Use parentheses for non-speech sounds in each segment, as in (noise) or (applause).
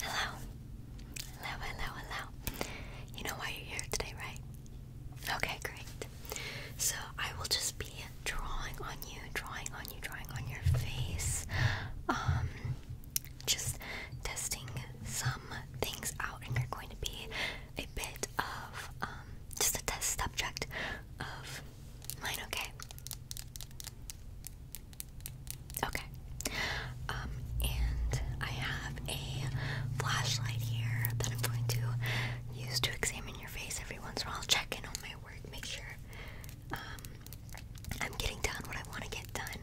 Hello. Hello, hello, hello. You know why you're here today, right? Okay, great. So I will just be drawing on you, drawing on you, drawing on your face. Um just testing some things out and you're going to be a bit of um just a test subject of mine, okay? Okay. Um, and I have a flashlight here that I'm going to use to examine your face every once in a while. Check on my work, make sure um, I'm getting done what I want to get done.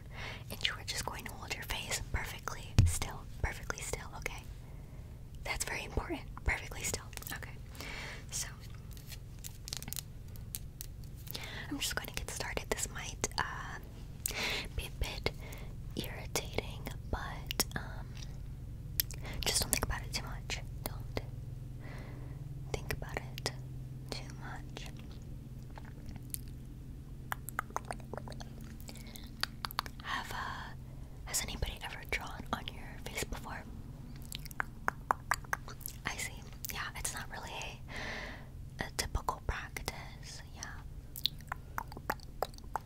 And you are just going to hold your face perfectly still, perfectly still, okay? That's very important. Perfectly still. Okay. So I'm just going to get started. This might uh, be a bit irritating, but um, just don't think about it too much. Don't think about it too much. Have uh, has anybody ever drawn on your face before? I see. Yeah, it's not really a, a typical practice. Yeah. Okay. Okay.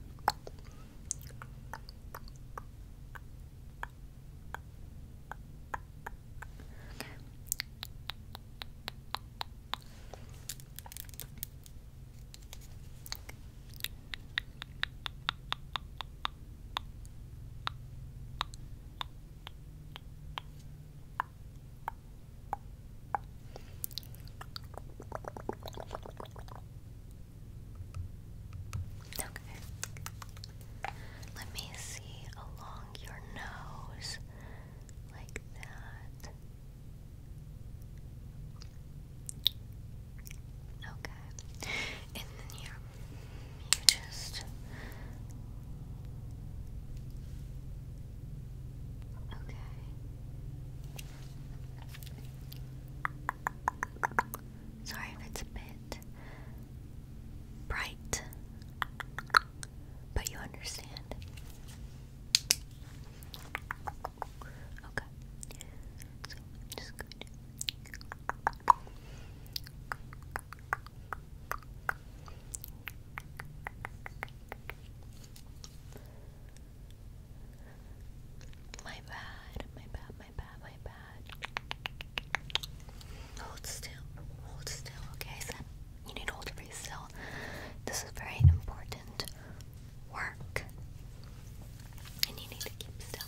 Okay. Let me see along your nose like that. Okay. And then your you just okay. Sorry if it's a bit bright, but you understand. Okay, so just going my bad, my bad, my bad, my bad. Hold still, hold still, okay? So you need to hold very still. This is very important work. And you need to keep still.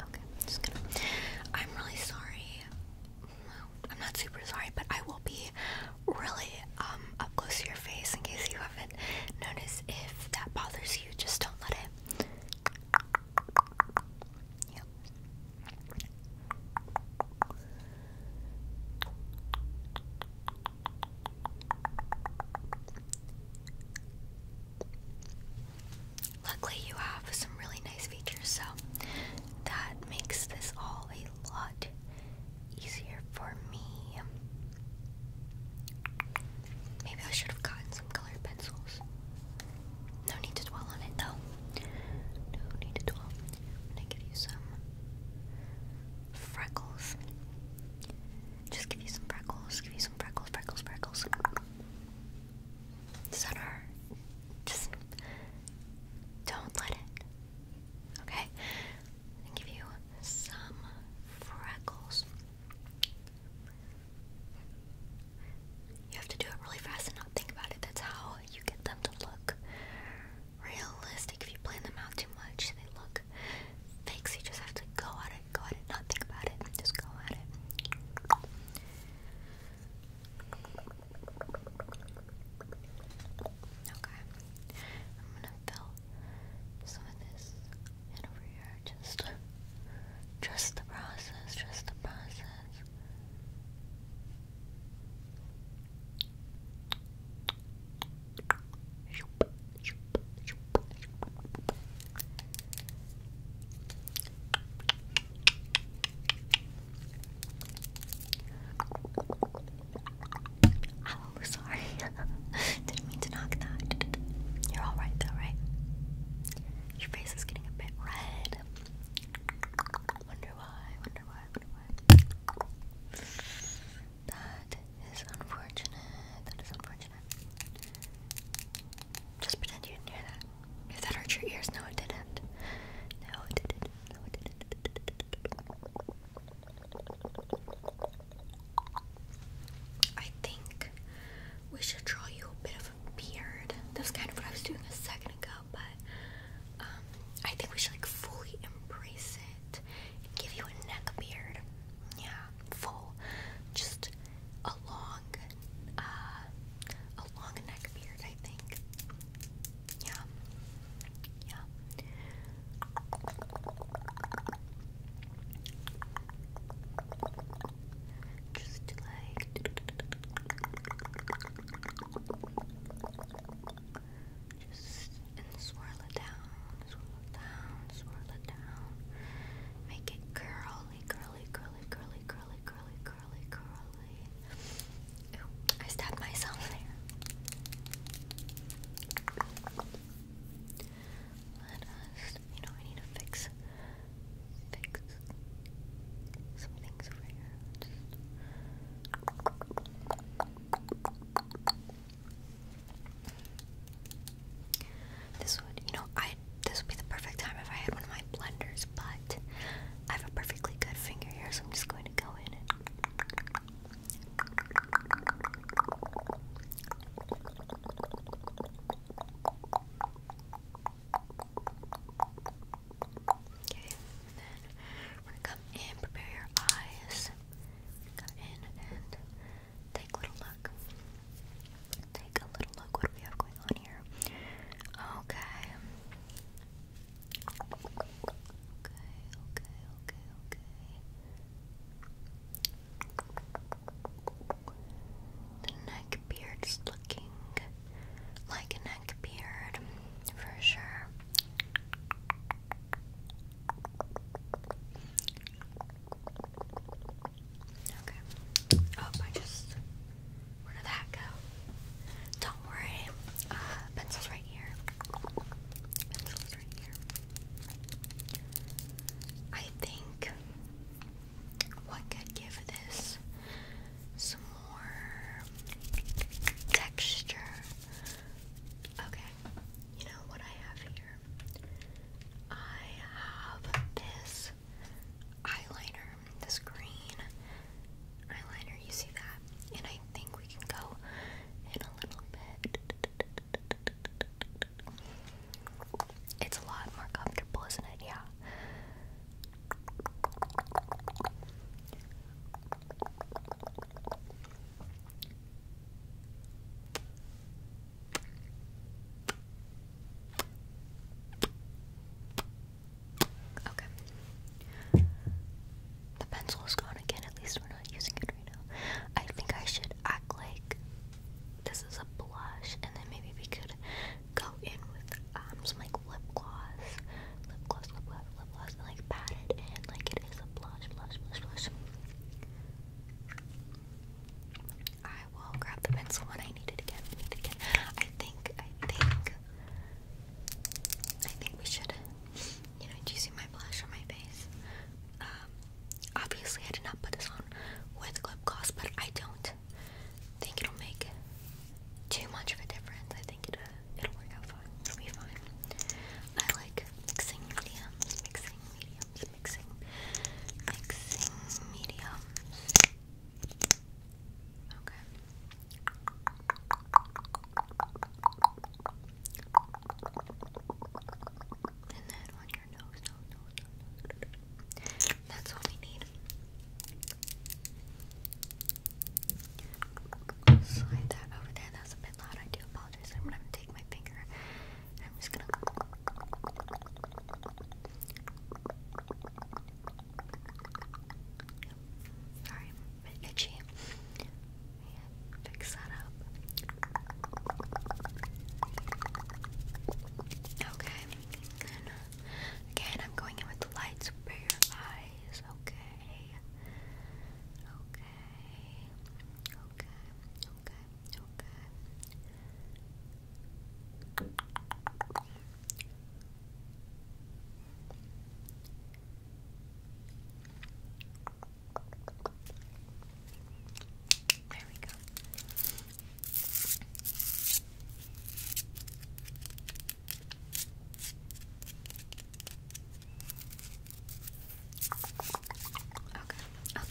Okay, I'm just gonna. I'm really sorry. I'm not super sorry, but I will be really um, up close to your face in case you haven't noticed. If that bothers you, just don't let it. Luckily, you have some really nice features, so that makes this all a lot easier for me. Maybe I should have gotten some colored pencils. No need to dwell on it, though. No need to dwell. gonna give you some freckles. Just give you some freckles, give you some freckles, freckles, freckles center. Just don't let it. Okay? And give you some freckles. You have to do it really fast and not think about it. That's how you get them to look realistic. If you plan them out too much, they look fake. So you just have to go at it, go at it, not think about it. Just go at it. Okay. I'm gonna fill some of this in over here. Just trust the process, Just the process. Oh, sorry. (laughs) Didn't mean to knock that. You're alright though, right? Your face is getting a bit red. Wonder why, wonder why, wonder why. That is unfortunate. That is unfortunate. Just pretend you didn't hear that. If that hurt your ears? No, it didn't. No, it didn't. No, it didn't. I think we should draw you a bit of a beard. That's kind of what I was doing a second ago, but um, I think we should like fully embrace it give you a neck beard. Yeah, full. Just a long, uh, a long neck beard, I think. Yeah, yeah. Just like just and swirl it down, swirl it down, swirl it down. Make it curly, curly, curly, curly, curly, curly, curly, curly. I stabbed myself there. Let us, you know, I need to fix, fix some things over here. This would, you know, I this would be the perfect time if I had one of my blenders, but I have a perfectly good finger here, so I'm just going to go in and Okay, then come in, prepare your eyes. Come in and take a little look take a little look what do we have going on here. Okay. Okay, okay, okay, okay. The neck beard's looking like a neck beard for sure. Okay. Oh, I just. Where did that go? Don't worry. Uh, pencil's right here. Pencil's right here. I think what could give this some more texture. Okay, you know what I have here? I have this eyeliner, this green eyeliner, you see that? And I think we can go in a little bit. It's a lot more comfortable, isn't it? Yeah. Okay. The pencil is gone again, at least we're not using it right now. I think I should act like this is a blush, and then maybe we could go in with um, some like lip gloss, lip gloss, lip gloss, lip gloss, and like pat it in like it is a blush, blush, blush, blush. I will grab the pencil when I need it again. Need it again. I think, I think, I think we should. You know, do my blush on my face? Um, obviously, I did not put this on with lip gloss, but I don't think it'll make too much of a difference. I think it'll, it'll work out fine. It'll be fine. I like mixing mediums, mixing mediums, mixing, mixing mediums. Okay. And then on your nose, no, no, no, That's all we need. Slide that over there. That a bit loud. I do apologize. I'm gonna take my finger I'm just gonna. Sorry, bit itchy. fix that up. Okay. again, I'm going in with the lights for eyes. Okay. Okay okay, okay, okay. There we go. Okay. Oh,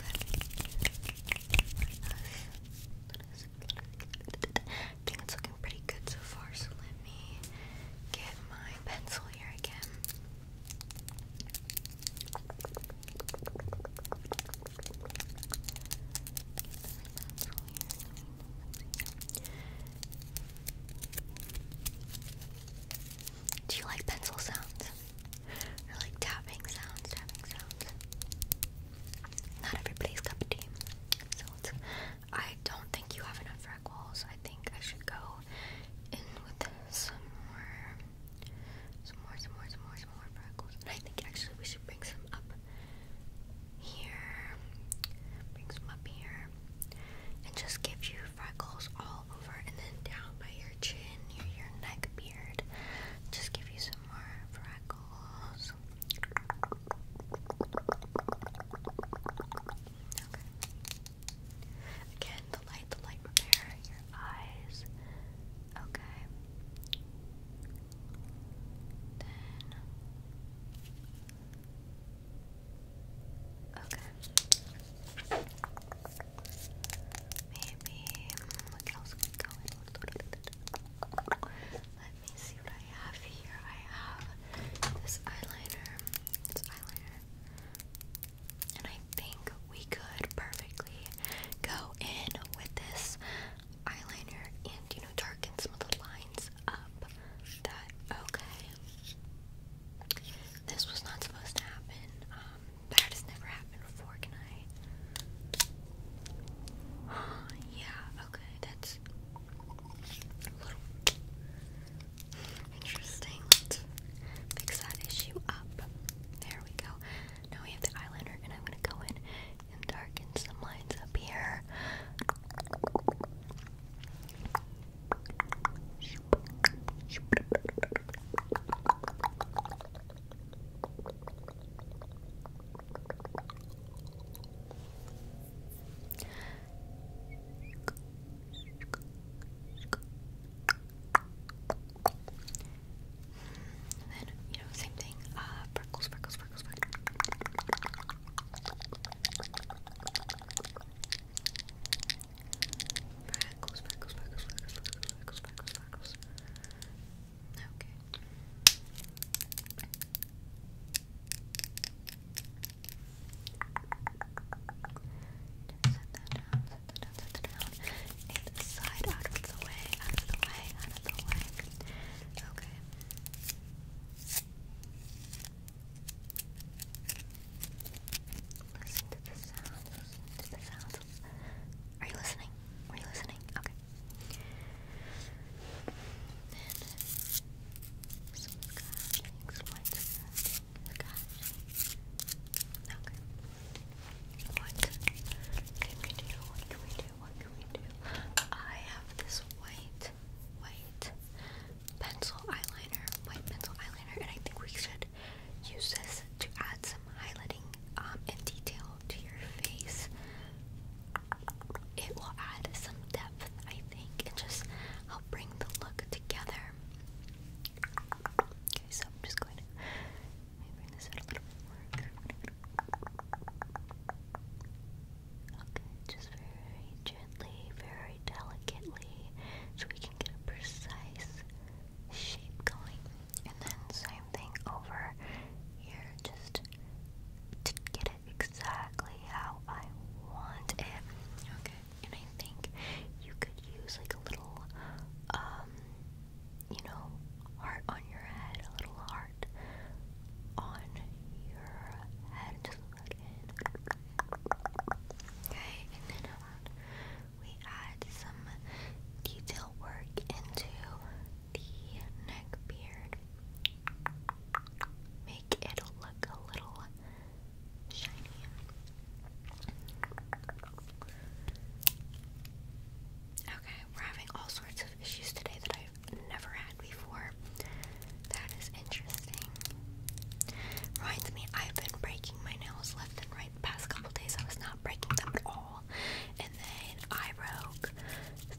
think it's looking pretty good so far, so let me get my pencil here again. Do you like pencil sounds? I like tapping sounds, tapping sounds. Not everybody's cup of So I don't think you have enough freckles. I think I should go in with some more, some more, some more, some more, some more freckles. And I think actually we should bring some up here, bring some up here, and just give you freckles all and then down by your chin, near your neck beard. Just give you some more freckles. Okay. Again, the light, the light repair, your eyes. Okay. Then. Okay. Maybe mm, we can also go in. Let me see what I have here. I have this eyeliner. This eyeliner. And I think we could perfectly go in with this eyeliner and, you know, darken some of the lines up. That, okay. This was not supposed to happen. Um, that has never happened before, can I? (gasps) yeah, okay, that's a little interesting. fix that issue up. There we go. Now we have the eyeliner, and I'm gonna go in and darken some lines up here. And then, you know, same thing. Uh, freckles, freckles, freckles, freckles. Freckles, freckles, freckles, freckles, freckles, freckles, freckles, freckles. Okay. Set that down, set that down, down. And the side out of the way, out of the way, out of the way. Okay. Listen to the sound. Listen to the sound. Are you listening? Are you listening? Okay. Okay. What can we do? What can we do? What can we do? I have this white, white pencil eyeliner, white pencil eyeliner, and I think we should Use this to add some highlighting um, and detail to your face. It will add some depth, I think, and just help bring the look together. Okay, so I'm just going to bring this a little more. Okay, just very gently, very delicately, so we can get a precise shape going. And then same thing over here, just to get it exactly how I want it. Okay. And I think you could use like a little, um, you know, heart on your head, a little heart on your head, Okay, and then we add some detail work into the neck beard. Make it look a little shiny. Okay, we're having all sorts of issues today that I've never had before. That is interesting. Reminds me, I've been breaking my nails left and right past couple days. I was not breaking them at all. And then I broke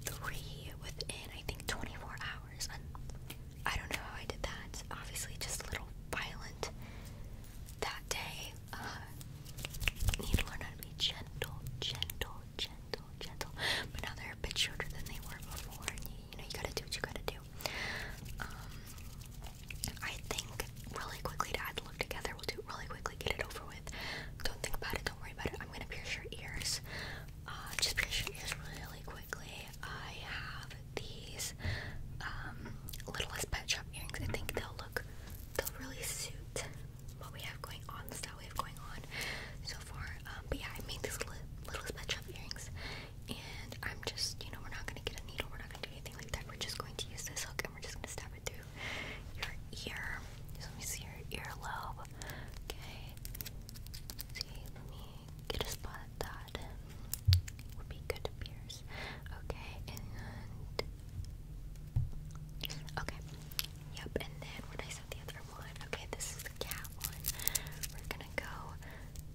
three within, I think, 24 hours. I don't know how I did that. Obviously, just a little violent that day. Uh, need to learn how to be gentle, gentle, gentle, gentle. But now they're a bit shorter than they were before. you know, you gotta do what you gotta do. Um, I think really quickly to add the look together, we'll do really quickly, get it over with. Don't think about it, don't worry about it. I'm gonna pierce your ears. Uh, just pierce your ears really quickly. I have these um, little Littlest Pet Shop earrings. I think they'll look, they'll really suit what we have going on, the style we have going on so far. Um, but yeah, I made these li Littlest Pet Shop earrings and I'm just, you know, we're not gonna get a needle, we're not gonna do anything like that. We're just going to use this hook and we're just gonna stab it through your ear. So let me see your earlobe. Okay. See, let me get a spot that. Would be good to pierce. Okay, and okay. Yep, and then when I said the other one, okay, this is the cat one. We're gonna go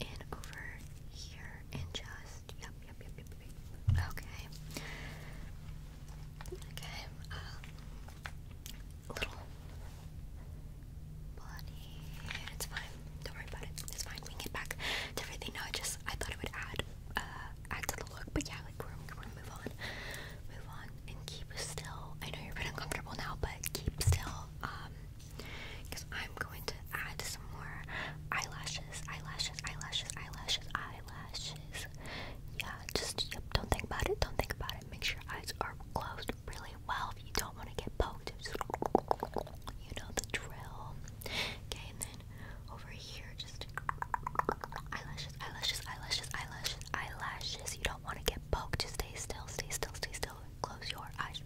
and over here and just yep yep yep yep, yep. okay okay uh, little bloody it's fine don't worry about it it's fine we get back to everything no I just I thought it would add uh add to the look but yeah like we're, we're gonna move on move on and keep still I know you're a bit uncomfortable now but keep still um because I'm going to add some more eyelashes, eyelashes, eyelashes, eyelashes, eyelashes. Yeah, just yep, don't think about it, don't think about it. Make sure your eyes are closed really well if you don't want to get poked. you know the drill. Okay, and then over here, just eyelashes, eyelashes, eyelashes, eyelashes, eyelashes. You don't want to get poked. Just stay still, stay still, stay still close your eyes.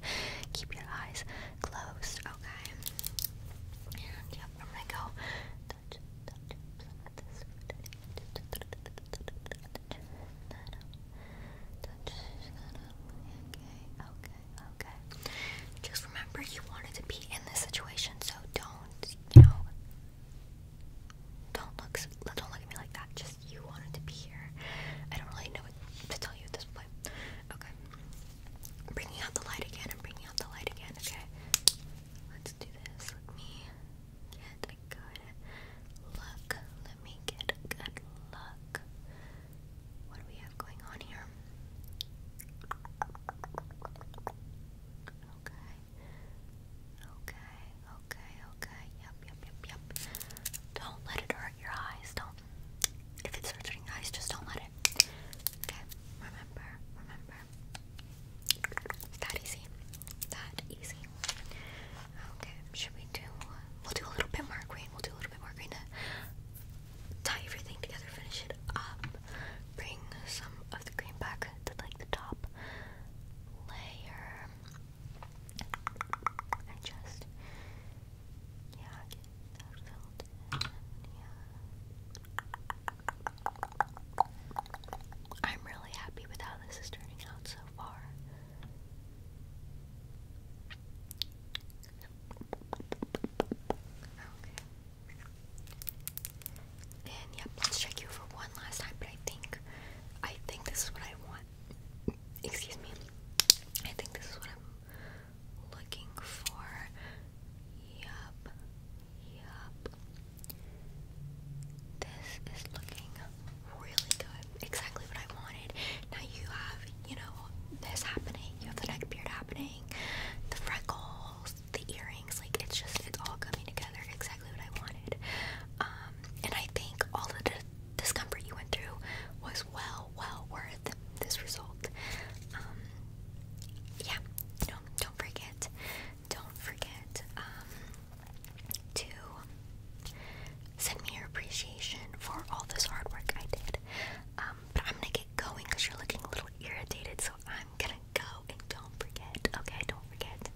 Keep your eyes closed, okay? And yep, I'm gonna go okay, okay, okay. Just remember you wanted to be in this situation, so don't, you know, don't look, don't look at me like that. Just you wanted to be here. I don't really know what to tell you at this point. Okay. bringing out the light again. I'm bringing out the light again. Okay. Let's do this. Let me get a good look. Let me get a good look. What do we have going on here? Okay. Okay okay, okay. Yep, yep, yep, yep. Don't let it hurt your eyes. Don't. If it's hurting your eyes, just don't let it. Okay, remember, remember. that easy. That easy. Okay, should we do. We'll do a little bit more green. We'll do a little bit more green to tie everything together, finish it up. Bring some of the green back to like the top layer and just yeah, get that filled Yeah, I'm really happy with how this is turning out so far. Okay. And yep, let's check you for one last time. But I think, I think this is what I want. Excuse me. I think this is what I'm looking for. Yup. Yup. This is looking really good. Exactly what I wanted. Now you have, you know, this happening. You have the neck beard happening. The freckles, the earrings. Like, it's just, it's all coming together exactly what I wanted. Um, and I think all of the discomfort you went through was well, well worth this result. Um, yeah, don't don't forget, don't forget um, to send me your appreciation for all this hard work I did. but I'm gonna get going because you're looking a little irritated, so I'm gonna go and don't forget. Okay, don't forget.